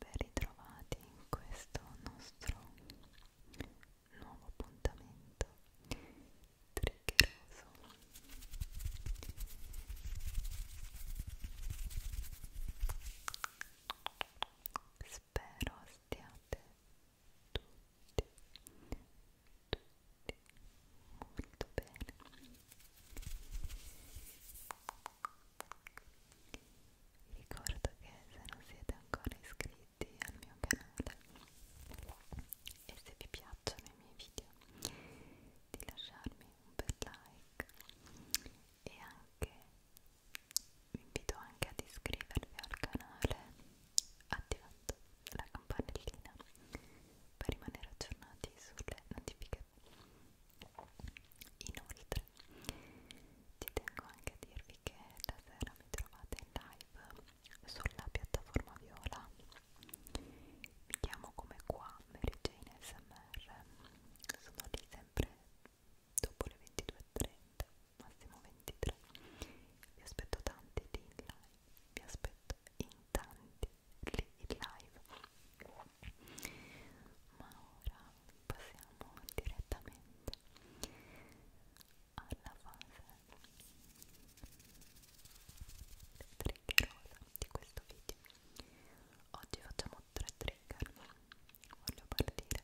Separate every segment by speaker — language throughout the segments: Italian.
Speaker 1: ben ritrovati in questo nostro nuovo appuntamento triggeroso spero stiate tutti tutti molto bene vi ricordo che se non siete ancora iscritti al mio canale e se vi piacciono i miei video di lasciarmi un bel like e anche vi invito anche ad iscrivervi al canale attivando la campanellina per rimanere aggiornati sulle notificazioni Inoltre, ci tengo anche a dirvi che la sera mi trovate in live sulla piattaforma viola.
Speaker 2: Mi chiamo come qua Mary Jane SMR. Sono lì sempre dopo le 22.30, massimo 23. Vi aspetto tanti lì in live. Vi aspetto in tanti lì in live ma ora passiamo direttamente alla fase triggerosa di questo video oggi facciamo tre trigger voglio partire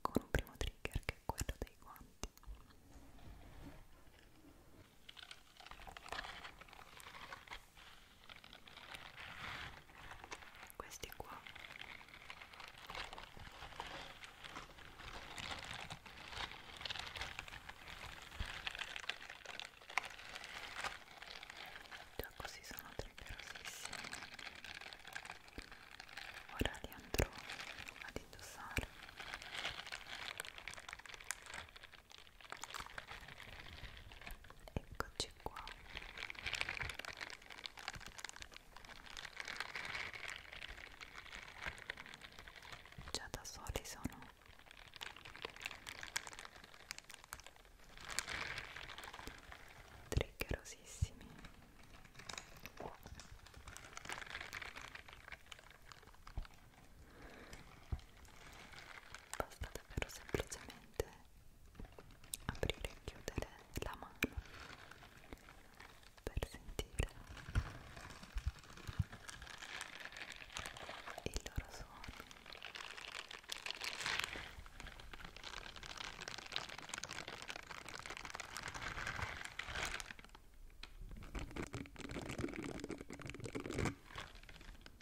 Speaker 2: con un primo trigger che è quello dei guanti questi qua già così sono triggerosissimi ora li andrò ad indossare eccoci qua già da soli sono triggerosissimi basta davvero semplicemente aprire e chiudere la mano per sentire il loro suono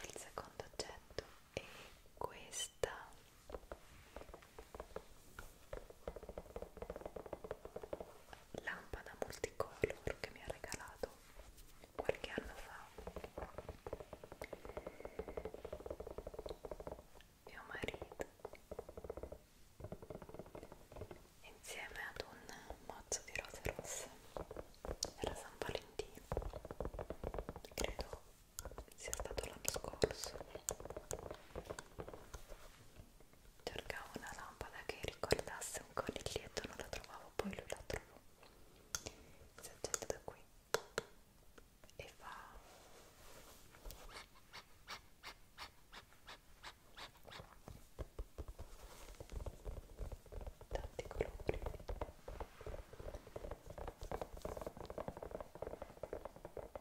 Speaker 1: Il secondo oggetto è questa lampada multicolor che mi ha regalato qualche anno fa mio marito insieme ad un mazzo di rose rosse era San Valentino credo sia stato l'anno scorso cercavo una lampada che ricordasse un coniglietto non la trovavo poi lui la trovò si accende da qui e fa tanti colori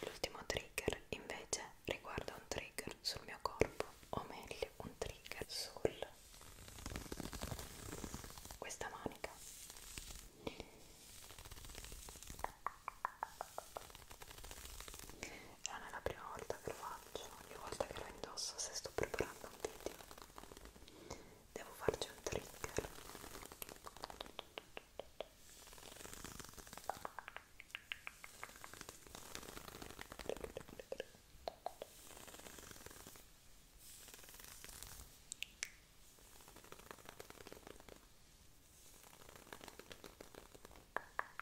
Speaker 1: L'ultimo trigger invece riguarda un trigger sul mio corpo, o meglio un trigger sul questa manica.
Speaker 3: Eh, non è la prima volta che lo faccio, ogni volta che lo indosso se sto preparando un video devo farci un trigger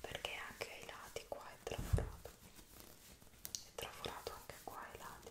Speaker 3: perché anche ai lati qua è trafurato è trafurato anche qua ai lati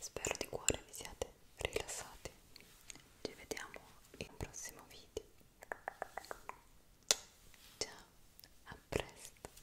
Speaker 3: Spero di cuore vi siate rilassati. Ci vediamo in un prossimo video. Ciao, a presto.